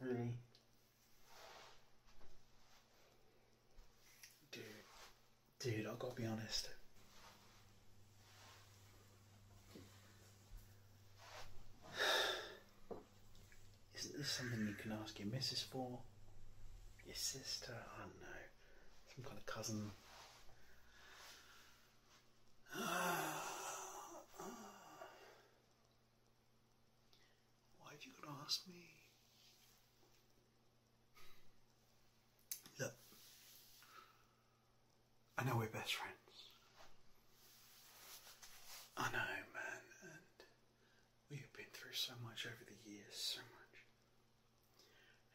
Really? Dude, dude, i got to be honest. Isn't this something you can ask your missus for? Your sister? I don't know. Some kind of cousin. Why have you got to ask me? Look, I know we're best friends. I know, man, we have been through so much over the years, so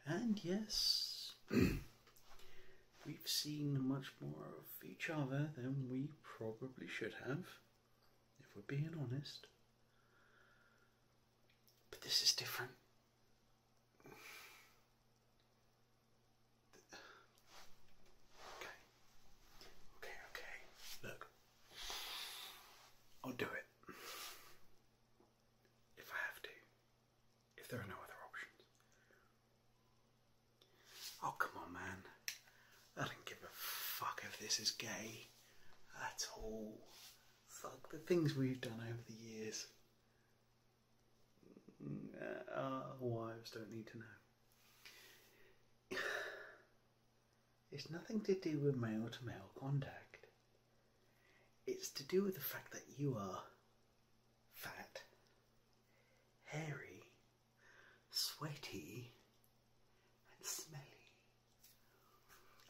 much. And yes, we've seen much more of each other than we probably should have, if we're being honest. But this is different. Okay. Okay, okay. Look, I'll do it if I have to, if there are no other options. Oh, come on, man. I don't give a fuck if this is gay at all. Fuck the things we've done over the years. Mm, uh, our wives don't need to know. It's nothing to do with male to male contact. It's to do with the fact that you are fat, hairy, sweaty, and smelly.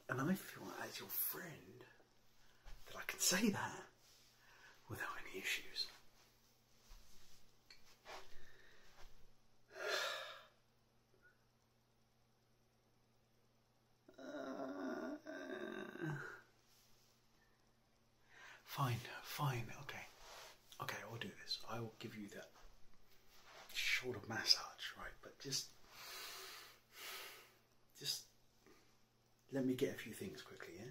And I feel as your friend that I can say that without any issues. Fine, fine, okay. Okay, I will do this. I will give you that short of massage, right? But just just let me get a few things quickly, yeah?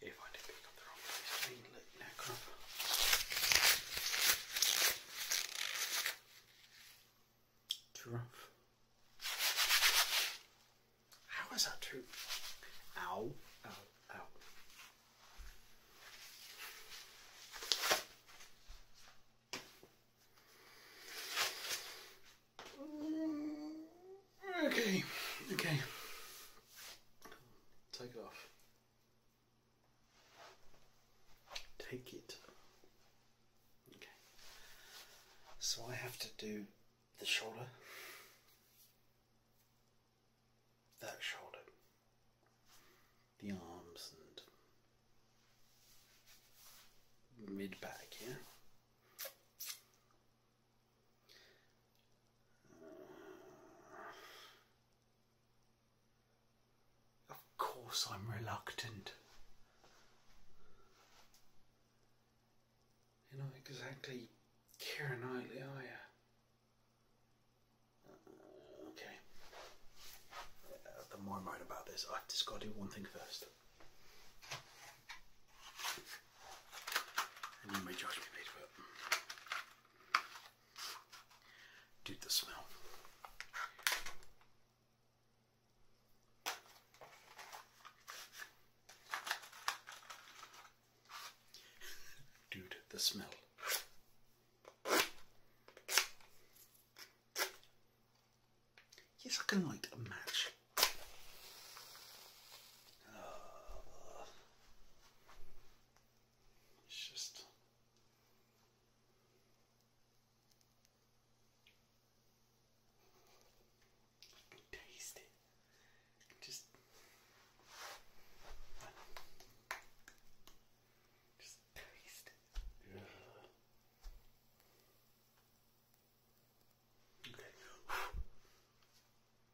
If I did pick up the wrong place, I mean, look, you know, crap. How is that true? Ow, ow, ow. Okay, okay. Take it off. Take it. Okay. So I have to do the shoulder, that shoulder, the arms and mid back Yeah? Of course, I'm reluctant. You're not exactly Kira Knightley, are you? okay. Uh, the more I'm right about this, I've just got to do one thing first. And you may judge me later, but Dude, the smell. Dude, the smell. Yes, I can light a match. It's just. taste it. just. Just taste it. Yeah.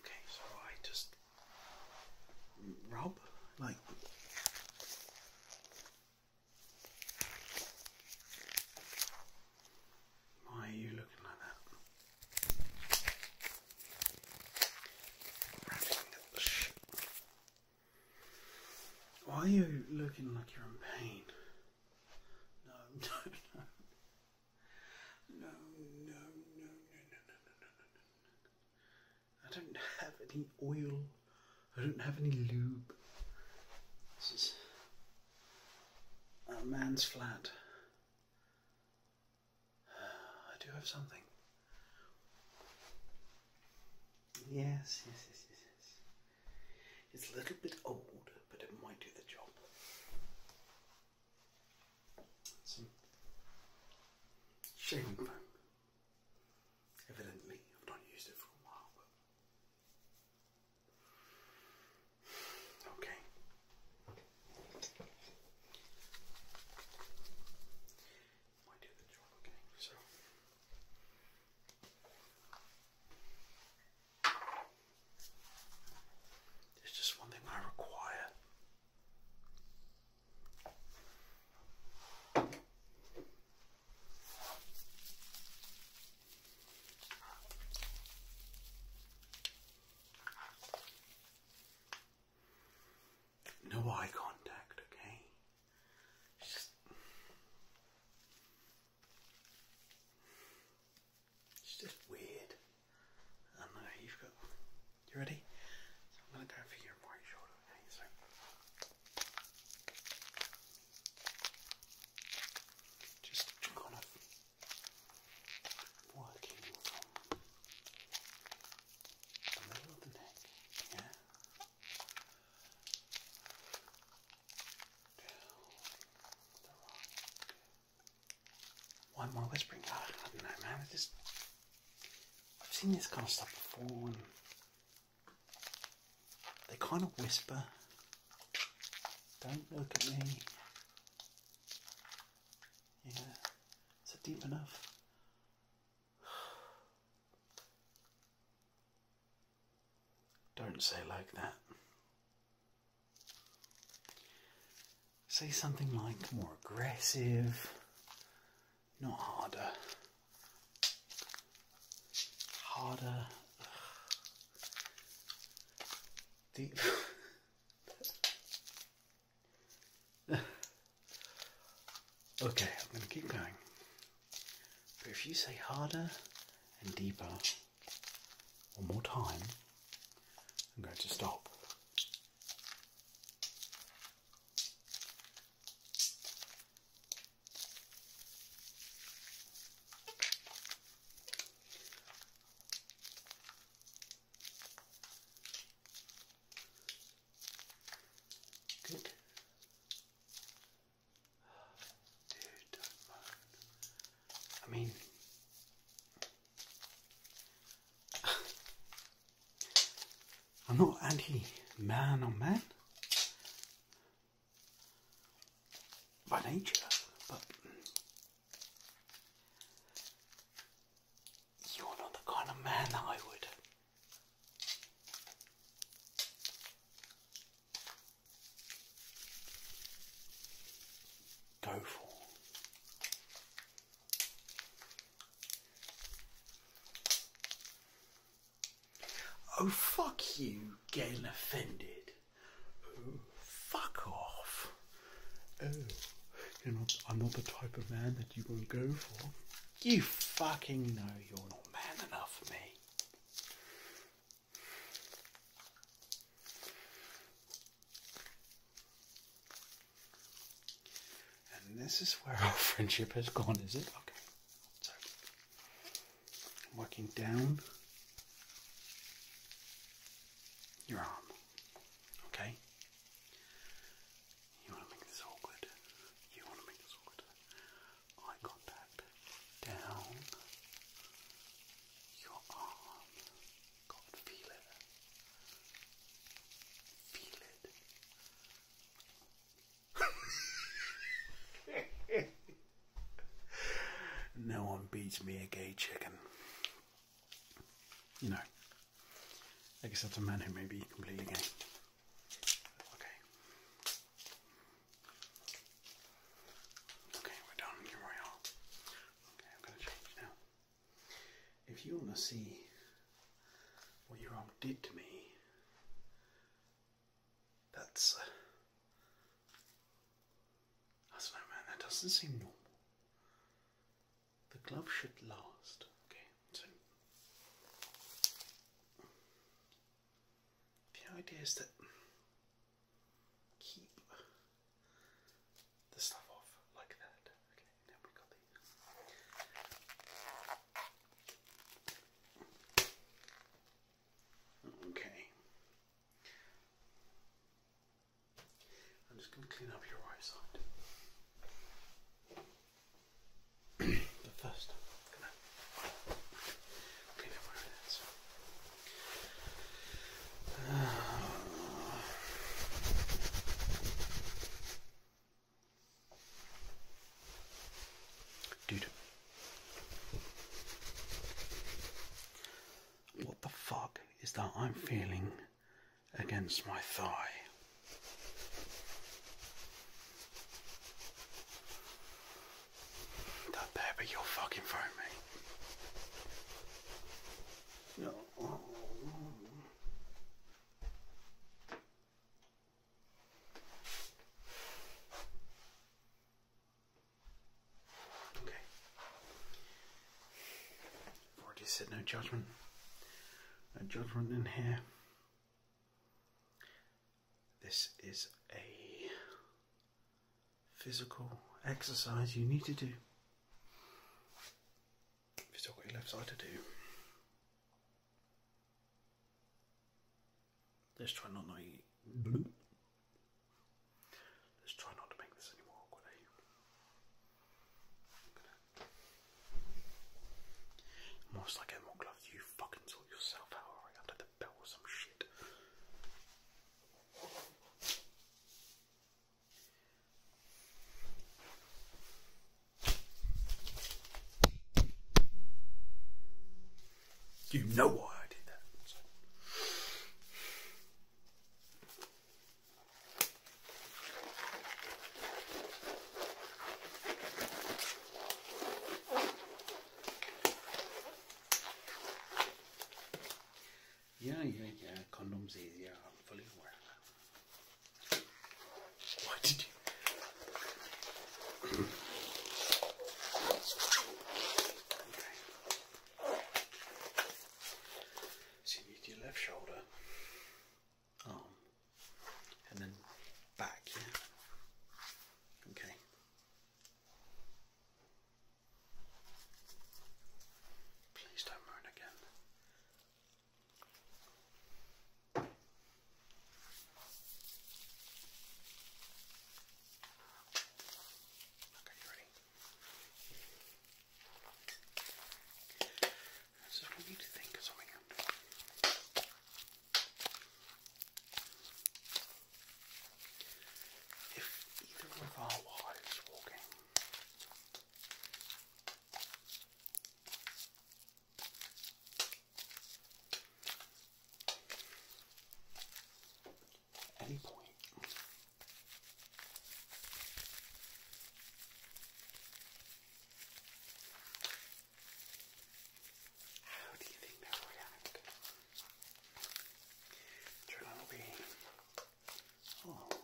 Okay, so I just rub like why are you looking like that? Why are you looking like you're in pain? No, no, no. No, no, no, no, no, no, no, no, no, no. I don't have any oil. I don't have any lube. This is a man's flat. I do have something. Yes, yes, yes, yes, yes. It's a little bit old, but it might do the job. Some shaving foam. Evidently, I've not used it for a while, Okay. Might do the job, okay? So. There's just one thing I require. No eye contact, okay? Just... It's just weird. I know, you've got... You ready? So I'm going to go for your right shoulder, okay? So... Just kind of working from the middle of the neck, yeah, down the right. One more whispering. Ah, I don't know, man. This, I've seen this kind of stuff before. They kind of whisper, don't look at me. Yeah, is it deep enough? Don't say like that. Say something like more aggressive, not harder. Harder. Ugh. okay, I'm going to keep going. But if you say harder and deeper one more time, I'm going to stop. Good. Dude, I mean, I'm not anti man or man by nature, but you're not the kind of man I would. Go for. Oh, fuck you getting offended. Oh, fuck off. Oh, you're not, I'm not the type of man that you want to go for. You fucking know you're not man enough for me. And this is where our friendship has gone, is it? Okay working down your arm. Okay? You want to make this awkward. You want to make this awkward. Eye contact down your arm. God, feel it. Feel it. no one beats me a gay chicken. You know, I guess that's a man who may be completely gay. Okay. Okay, we're done. Here we are. Okay, I'm going to change now. If you want to see what your aunt did to me, that's. Uh, I don't know, man. That doesn't seem normal. The glove should last. Okay, so the idea is that keep the stuff off like that. Okay, now we got the Okay. I'm just going to clean up your right side. but 1st clean up where Dude. What the fuck is that I'm feeling against my thigh? That better be your fucking phone, No. Okay. I've already said no judgment. No judgment in here. This is a physical exercise you need to do. still got your left side to do. Let's try not to make Let's try not to make this any more awkward. Eh? like get more You fucking sort yourself out. Alright, under the belt or some shit. You know why I did that. Yeah, yeah, yeah. Condoms easier. I'm fully aware why did you? So you need your left shoulder, arm, and then back. Yeah. Okay. Please don't moan again. Okay, you ready? This is we need to think of something here. If either of our wives walking at any point. How do you think that would act? Turn on the way. Oh,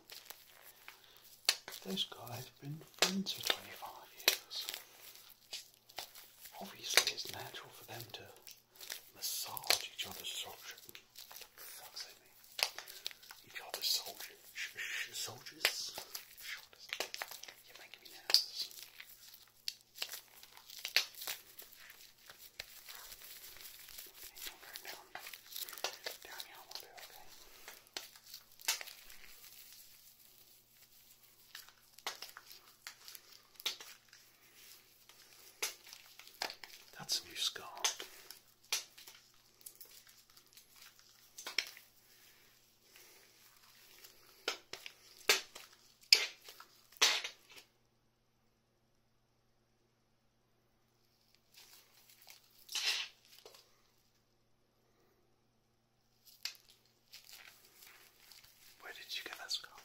those guys have been friends for 25 years. Obviously, it's natural for them to massage each other's soldiers. Each other's soldiers. soldiers? Shoulders. You're making me nervous. Down, down, down here, that's a new scar. Where did you get that scarf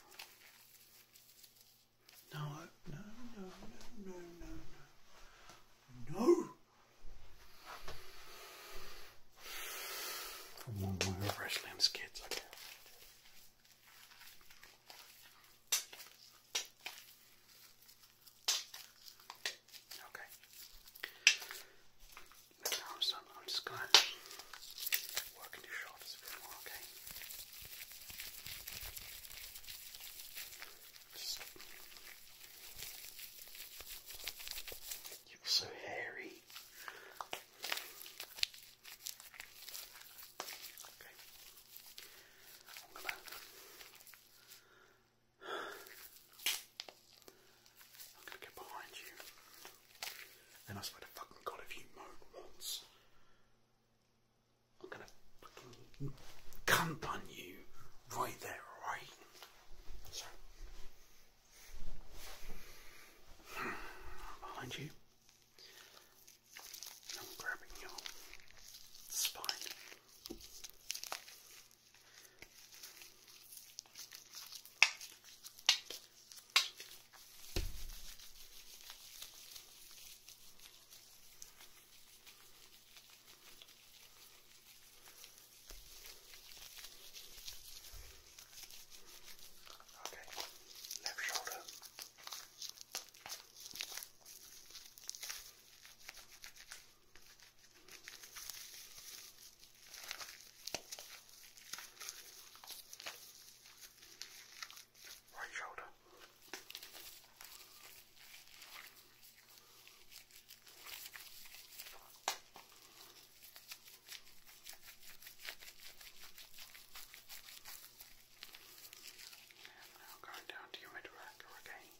No, no, no, no, no, no, no. No! From one my Fresh Limbs kids, I Okay. Now, so I'm just going to work into your shoulders a bit more, okay? You're so hairy. Okay. I'm gonna get behind you. And I swear to fucking god if you moan once, I'm gonna fucking on you right there, alright? So behind you. I'm grabbing your spine. Okay, left shoulder. Right shoulder. Right shoulder. And now going down to your mid again.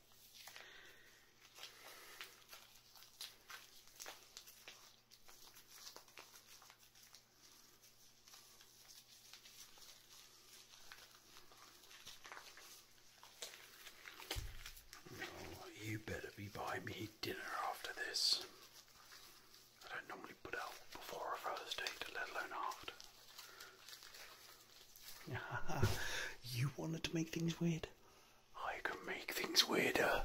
Oh, you better be buying me dinner after this. I don't normally put out before a first date, let alone after. you wanted to make things weird. I can make things weirder.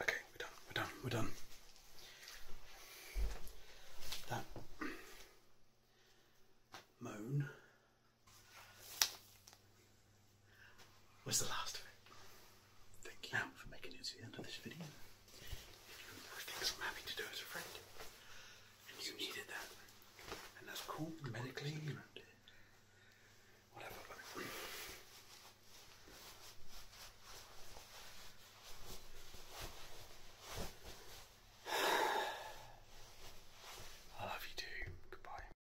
Okay, we're done, we're done, we're done. That moan was the last of it. Thank you for making it to the end of this video. If you I'm happy to do as a friend. And you needed that. And that's cool, medically, whatever. I love you too. Goodbye.